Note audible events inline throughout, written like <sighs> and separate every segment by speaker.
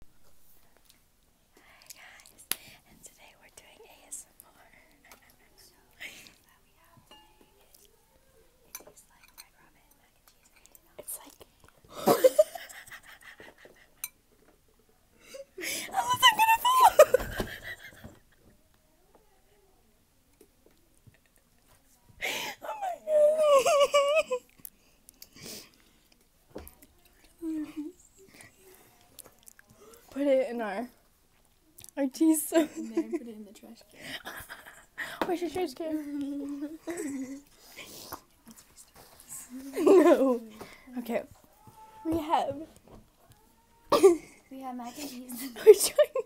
Speaker 1: Hi guys, and today we're doing ASMR. It's like <laughs> I was i gonna fall. <laughs> oh my god.
Speaker 2: <laughs> Put it in our our cheese. And put it in the trash can. <laughs> Where's your trash can? <laughs> no. Okay. We have. we have mac and cheese. We're trying.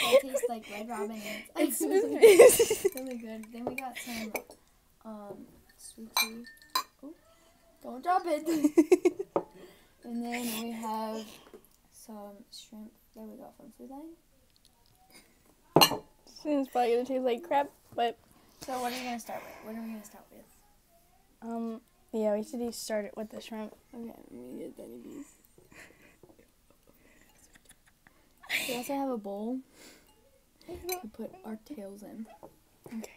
Speaker 2: It tastes like Red Robin. It's, it's really Then we got some um, sweetie. don't drop it. <laughs> and then we have some shrimp. There we go from Food Line. It's probably gonna taste like crap, but. So what are we gonna start with? What are we gonna start with? Um. Yeah, we should start it with the shrimp. Okay, I'm gonna get Benny B's. <laughs> also have a bowl to put our tails in. okay.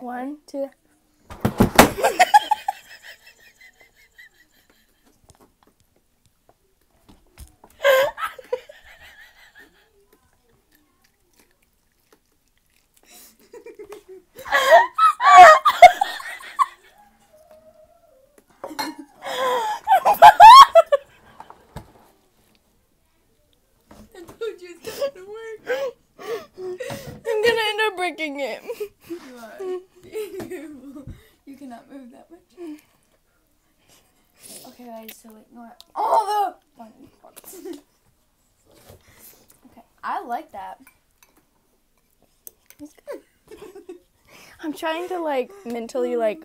Speaker 2: One, two. <laughs> I told not gonna work. I'm gonna end up breaking it. You cannot move that much. Okay, guys, so ignore all the <laughs> okay, I like that. I'm trying to like mentally like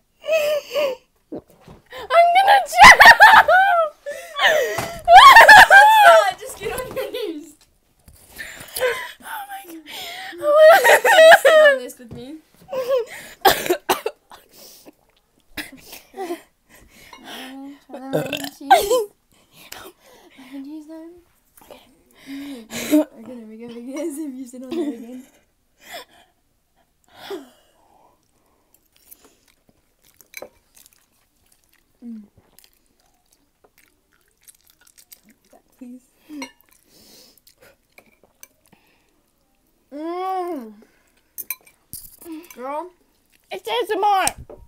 Speaker 1: I'm gonna jump! not, just get on your knees. Oh my
Speaker 2: god. Oh my god. on this with me. Okay, there we go. Guys, if you sit on there again. <laughs>
Speaker 1: mm. that, please. Mmm.
Speaker 2: Girl, it says more.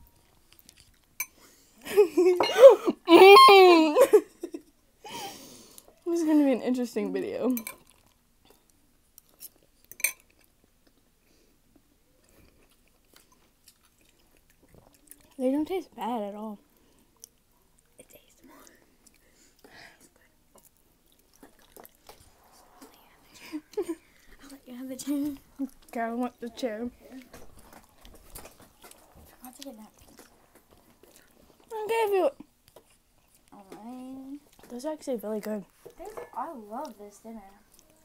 Speaker 2: mm. this is gonna be an interesting video. They don't taste bad at all. I'll let you have the chair. <laughs> Okay, I want the chair. I'll a nap. you Alright. This is actually really good. I love this dinner.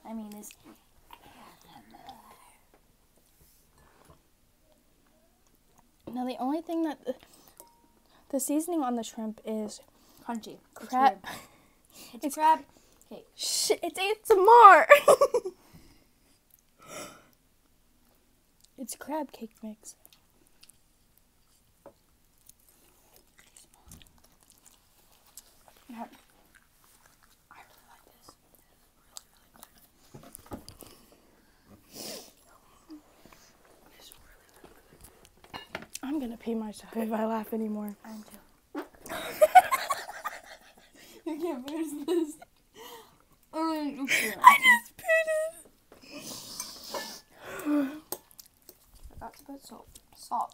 Speaker 2: I mean, this. Now, the only thing that. The, seasoning on the shrimp is. Crunchy. Crab. It's, <laughs> it's, it's crab Shit, it's, it's <laughs> more! It's crab cake mix. I am gonna pee myself if I laugh anymore. i <laughs> you can't finish this. I
Speaker 1: um, just peed it.
Speaker 2: That's a to salt. Salt.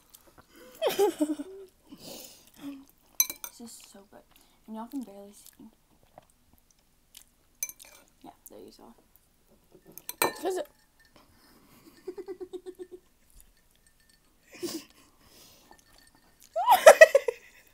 Speaker 2: <laughs> this is so good. And y'all can barely see. Yeah, there you saw. What is it? <laughs> <laughs>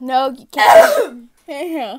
Speaker 2: no, you can't. yeah.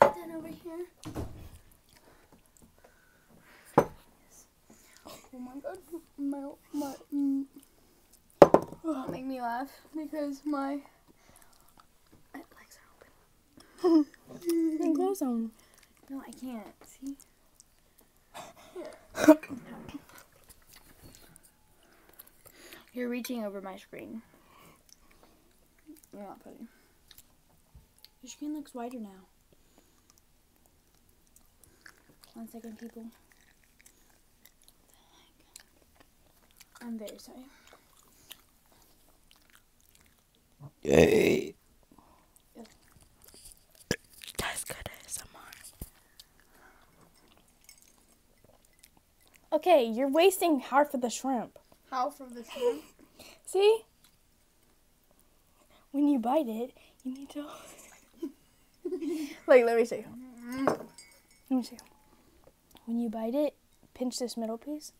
Speaker 2: Put that over here. Oh my god, my, my, mm. make me laugh because my legs are open. <laughs> No, I can't. See? <coughs> You're reaching over my screen. You're not putting. Your screen looks wider now. One second, people. I'm very sorry.
Speaker 1: Yay. That's good ASMR.
Speaker 2: Okay, you're wasting half of the shrimp. Half of the shrimp? <laughs> See? When you bite it, you need to. like, <laughs> let me see. Let me see. When you bite it, pinch this middle piece.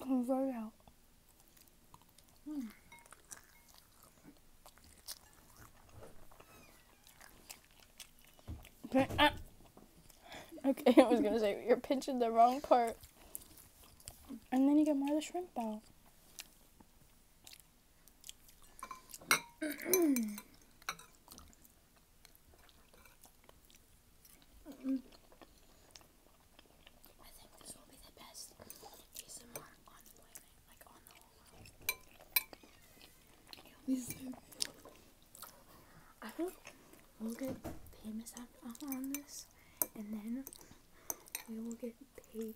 Speaker 2: I'm right out. Mm. Okay, <laughs> I was gonna say you're pinching the wrong part, and then you get more of the shrimp out. <clears throat> I think this will be the best ASMR on the planet, like on the whole world. we'll get paid after on this, and then we will get paid.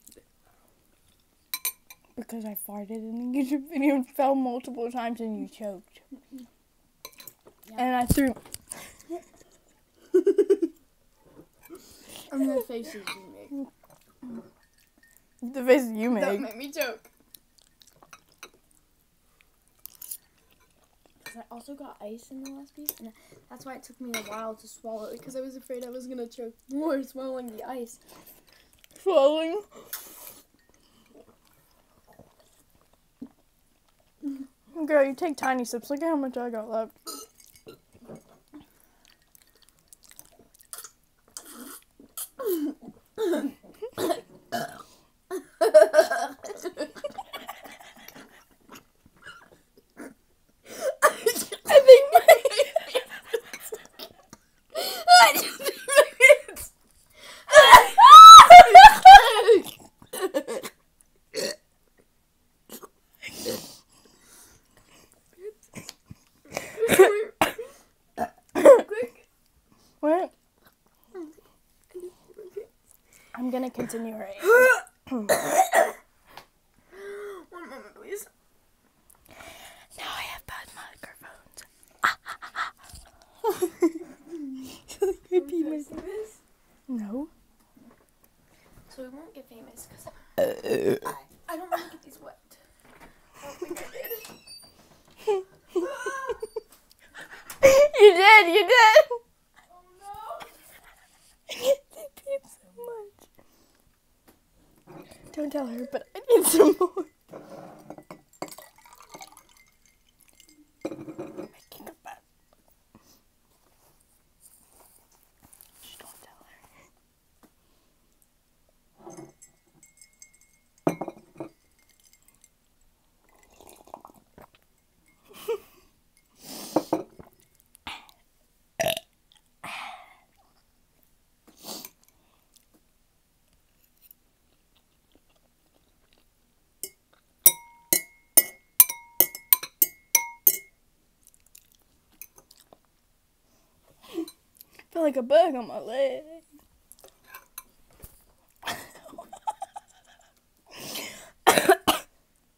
Speaker 2: Because I farted in the YouTube video and fell multiple times and you choked. Mm-hmm. And I threw. I mean, the faces you make. The faces you make. That made me joke. I also got ice in the last piece, and that's why it took me a while to swallow it because I was afraid I was gonna choke more swallowing the ice. Swallowing. Girl, you take tiny sips. Look at how much I got left. I think
Speaker 1: <laughs> <laughs> I
Speaker 2: what? I'm gonna continue right. <coughs> One
Speaker 1: moment, please. Now I have bad microphones. Ah,
Speaker 2: ah, You're famous. No. So we won't get famous because uh.
Speaker 1: I, don't want to get wet. you did,
Speaker 2: you did. Oh, <laughs> don't tell her, but I need some more. Making a bed. Just don't tell her. <laughs> I feel like a bug on my leg.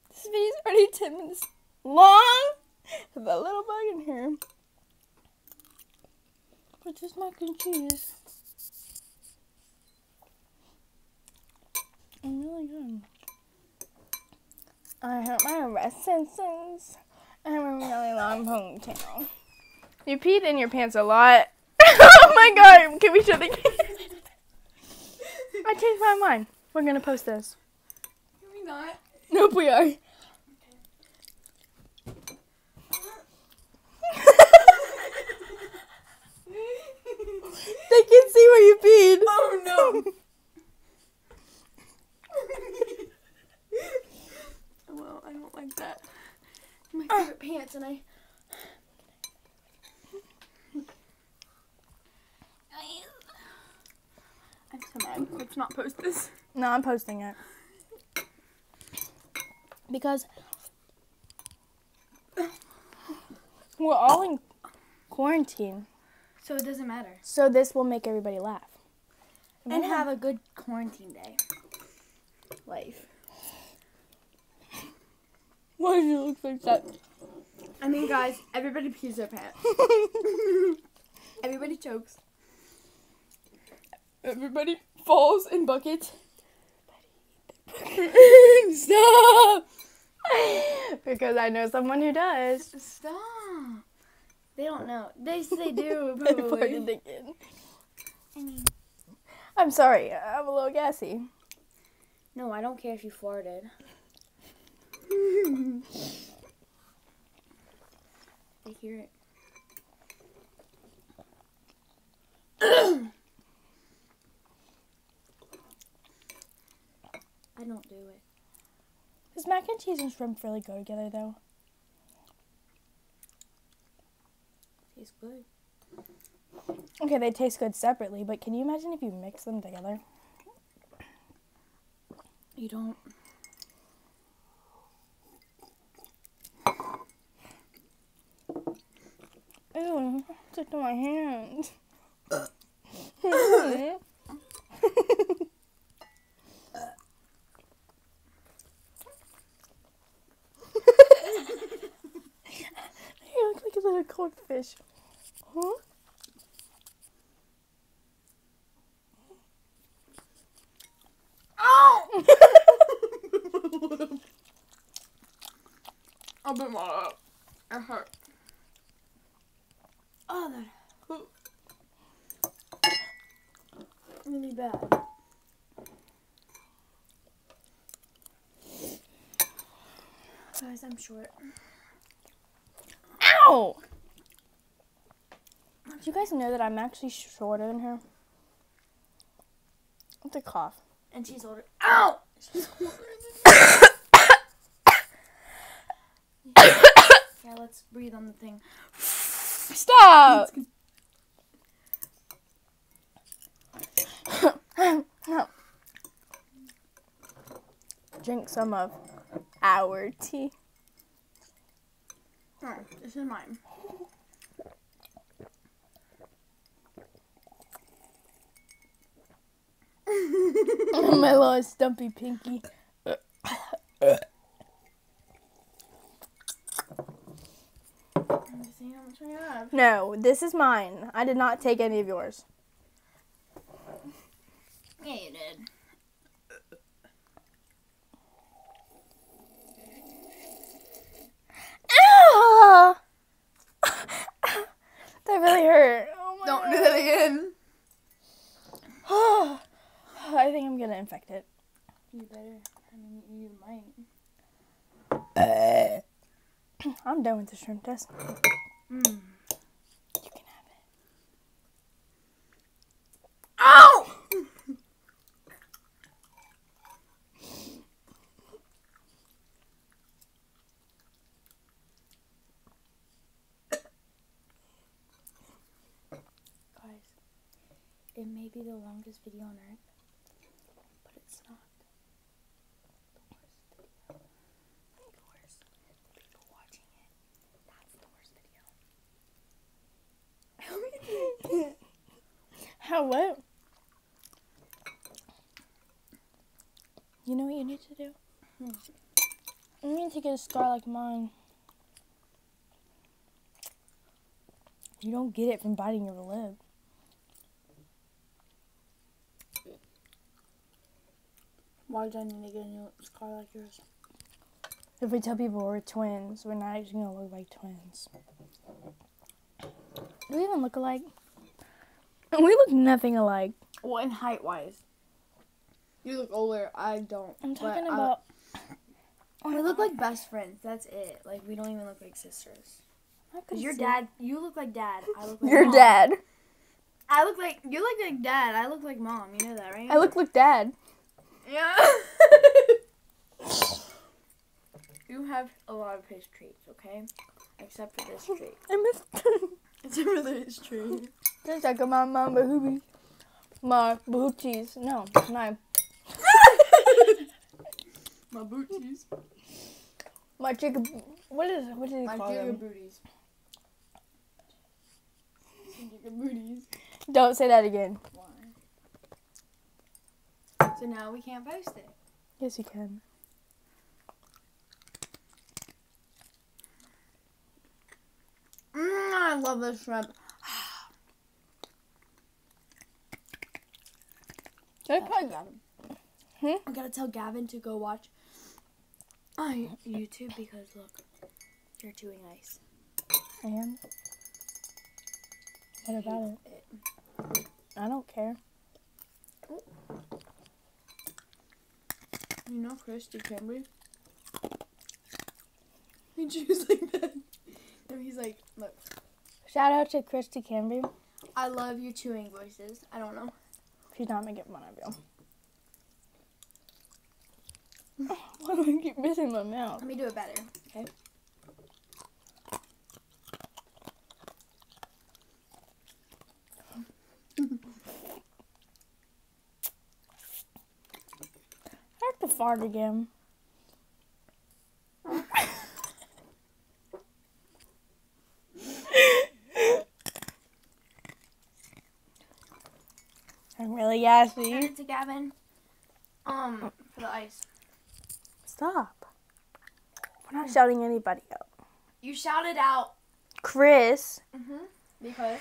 Speaker 2: this video's already 10 minutes long. Have a little bug in here. Which is mac and cheese. I'm really good. I hurt my wrist since I have a really long ponytail. You peed in your pants a lot. <laughs> oh my god, can we shut the I changed my mind. We're gonna post this. Can we not? Nope, we are they can see where you peed. Oh no. well, I don't like that. My ah. favorite pants, and I. I'm so mad. Let's not post this. No, I'm posting it because we're all in quarantine. So it doesn't matter. So this will make everybody laugh. And have a good quarantine day. Life. Why do you look like that? I mean, guys, everybody pees their pants. <laughs> everybody chokes. Everybody falls in buckets. Stop! <laughs> because I know someone who does. Stop. They don't know. They they do. <laughs> I am sorry. I'm a little gassy. No, I don't care if you farted. I <laughs> hear it. I don't do it. Does mac and cheese and shrimp really go together though? Tastes good. Okay, they taste good separately, but can you imagine if you mix them together? You don't. Ew, stuck to my hands. you look like a little codfish. Huh?
Speaker 1: Ow! a bit more. It hurt.
Speaker 2: Oh, that Really bad. Guys, I'm short. Ow! Do you guys know that I'm actually shorter than her? With a cough. And she's older. Ow! yeah, let's breathe on the thing. Stop! Drink some of our tea. Oh, this is mine. <laughs> My little stumpy pinky. No, this is mine. I did not take any of yours. Yeah, you
Speaker 1: did.
Speaker 2: Ow! <laughs> that really hurt. Oh Don't do that again. <sighs> I think I'm gonna infect it. You better. I mean, you might. <clears throat> I'm done with the shrimp test. Mm. You can have it. Guys, it may be the longest video on earth, but it's not. That's the worst video. <laughs> How what? You know what you need to do? Hmm. You need to get a scar like mine. You don't get it from biting your lip. Why do I need to get a new scar like yours? If we tell people we're twins, we're not actually gonna look like twins. Do we even look alike? <laughs> We look nothing alike. Well, in height wise, you look older. I don't. I'm talking uh, about. I, <coughs> we look like best friends. That's it. Like we don't even look like sisters. Cause your dad, you look like dad. I look dad. I look like you look like dad. I look like mom. You know that, right? I look like dad. Yeah. <laughs> you have a lot of his treats, okay? Except for this treat. I missed. Except for this treat. It's like my mama boobies. <laughs> My booties. No, my. my booties. My chicken. What is it? What did he my call them? My booties. Don't say that again. So now we can't post it. Yes, you can. Mm, I love this shrimp. <sighs> Should I play Gavin? Hmm? I gotta tell Gavin to go watch on uh, YouTube because look. You're chewing ice. I am. What about it? I don't care. You know Christy Cambry? <laughs> He chews like that. No, he's like, look. Shout out to Christy Cambry. I love your chewing voices. I don't know. She's not making fun of you. <laughs> Why do I keep missing my mouth? Let me do it better. Okay. <laughs> I have to fart again. <laughs> I'm really gassy. Send to Gavin. Um, for the ice. Stop. We're not hmm. shouting anybody out. You shouted out Chris. Mhm. Mm because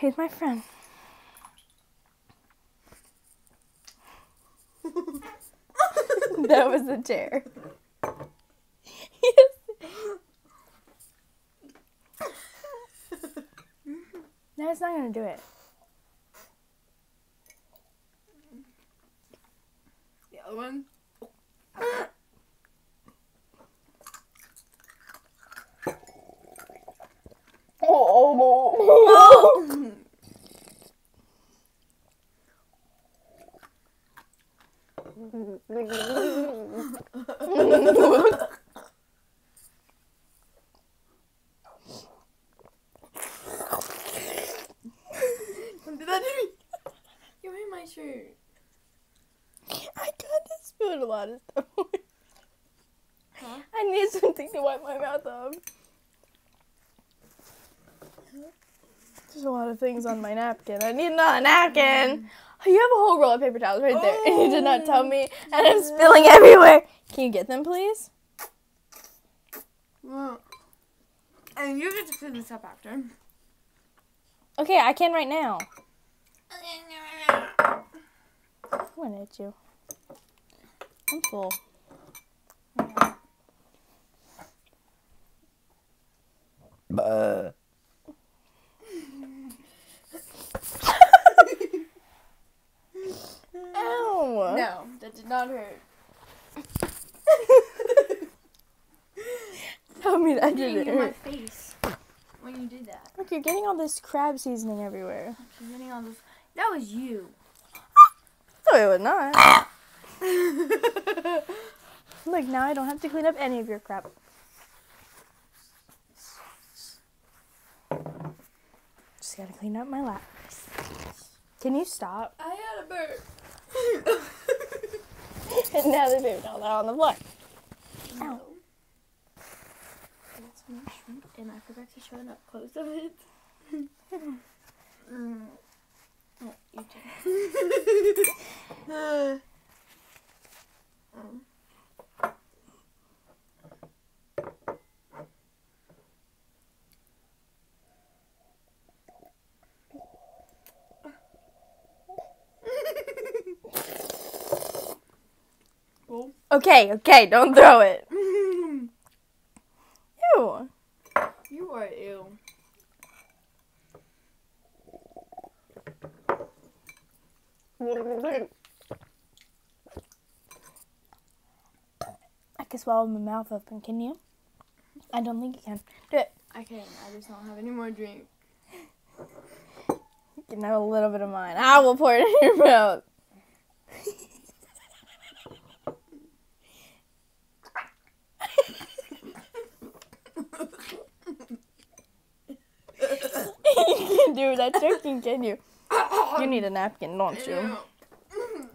Speaker 2: he's my friend. <laughs> that was a chair. <laughs> no, it's not gonna do it. The other one.
Speaker 1: <laughs> <laughs>
Speaker 2: Don't do me. You're in my shirt. I kind spilled a lot of stuff. I need something to wipe my mouth off. There's a lot of things on my napkin. I need another napkin you have a whole roll of paper towels right there, and you did not tell oh, me, <laughs> and I'm spilling everywhere. Can you get them, please? and you get to clean this up after. Okay, I can right now. What at you? I'm full.
Speaker 1: Ow! No,
Speaker 2: that did not hurt.
Speaker 1: I mean, I didn't. It in my
Speaker 2: face when you did that. Look, you're getting all this crab seasoning everywhere. That was you. no, it was not. Look, now I don't have to clean up any of your crap. Just gotta clean up my lap. Can you stop? I had a burp. and <laughs> now the baby dolls are on the floor. No. and I forgot to show an up close of it. oh, you um. <laughs> Okay, okay, don't throw it. You are ew. I can swallow my mouth open, can you? I don't think you can. Do it. I can, I just don't have any more drink. You can have a little bit of mine. I will pour it in your mouth. <laughs> you <laughs> can do that joking, can you? You need a napkin, don't you?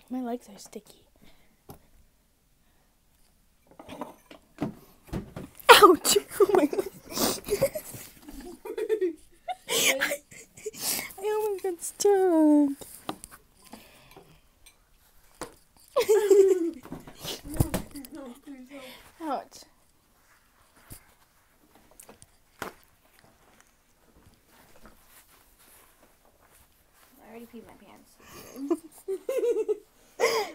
Speaker 2: My legs are sticky.
Speaker 1: Ouch! <laughs> Oh my god. I, <laughs> I almost got stuck. Ouch.
Speaker 2: I already peed my pants.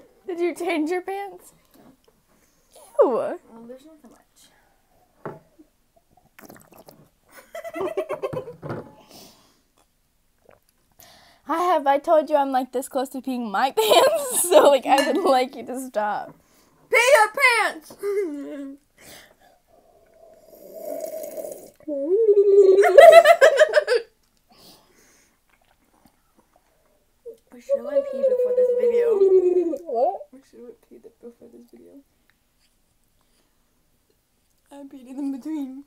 Speaker 2: <laughs> Did you change your pants? No. Ew. Well, there's nothing much. <laughs> I have. I told you I'm like this close to peeing my <laughs> pants, so like I would like like you to stop. Pee your pants! We should have pee before this video? We
Speaker 1: should have pee before this video? I peed in
Speaker 2: between.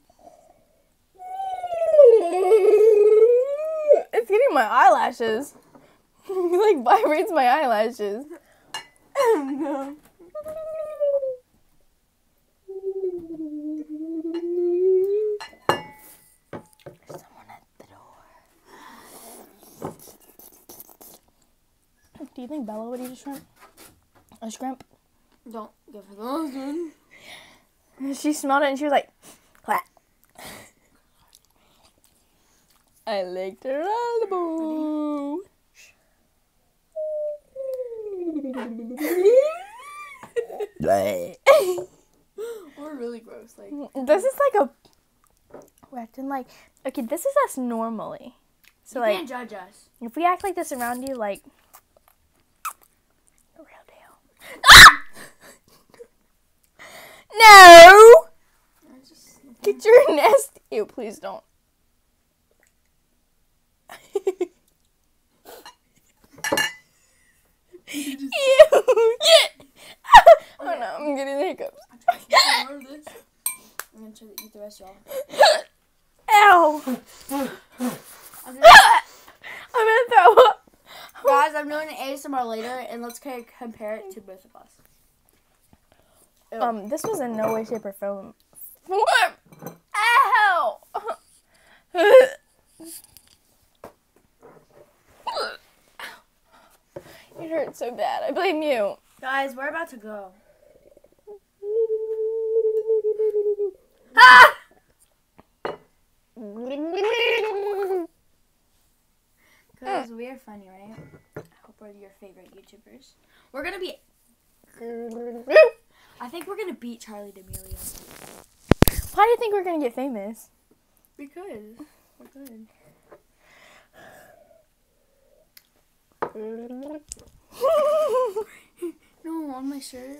Speaker 2: It's getting my eyelashes. <laughs> he like vibrates my eyelashes. no. Do you think Bella would eat a shrimp? A shrimp? Don't give her those, dude. <laughs> she smelled it and she was like, Quack. I licked her all the elbow. We're really gross. Like <laughs> this is like a we're acting like okay. This is us normally. So you like, can't judge us. If we act like this around you, like real deal. <laughs> No! Get your nest. You please don't. Oh no, I'm getting hiccups. I'm gonna try to eat the rest of y'all. Ow! I'm gonna throw up. Guys, I'm doing ASMR later, and let's compare it to both of us. Um, this was in no way, shape, or form. What? Ow! it hurt so bad. I blame you. Guys, we're about to go. ah! Because we're funny, right? I hope we're your favorite YouTubers. We're gonna be. I think we're gonna beat Charlie D'Amelio. Why do you think we're gonna get famous? We could. We're good. <laughs> no, on my shirt.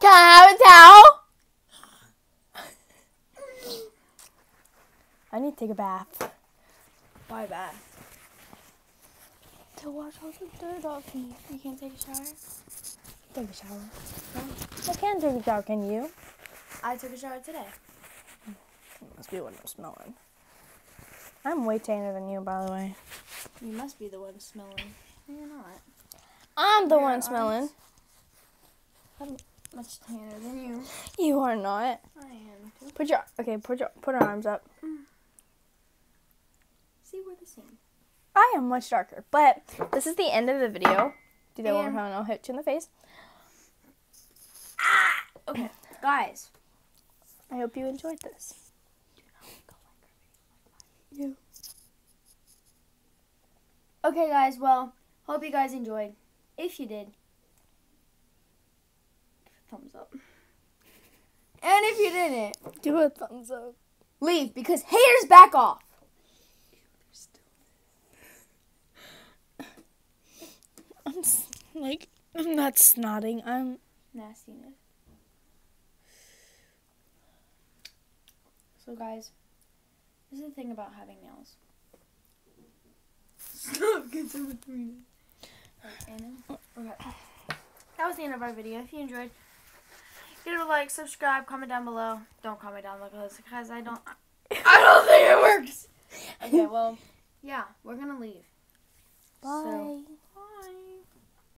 Speaker 2: Can I have a towel? I need to take a bath. Why bath? To wash all the dirt off me. You can't take a shower? Take a shower. I can take a shower, can you? I took a shower today. It must be what I'm smelling. I'm way tanner than you, by the way. You must be the one smelling. You're not. I'm the one smelling. I'm much tanner than you. You are not. I am. Too. Put your okay. Put your put her arms up. Mm. See, we're the same. I am much darker, but this is the end of the video. Do that one more time, I'll hit you in the face. Ah! Okay, guys. I hope you enjoyed this. You. Okay, guys, well, hope you guys enjoyed. If you did, thumbs up. And if you didn't, do a thumbs up. Leave because haters back off. I'm like I'm not snotting. I'm nastiness. So, guys, this is the thing about having nails. Stop getting between Anna. Okay. That was the end of our video. If you enjoyed, give it a like, subscribe, comment down below. Don't comment down below because I don't. I don't think it works. Okay, well, <laughs> yeah, we're gonna leave.
Speaker 1: Bye. So.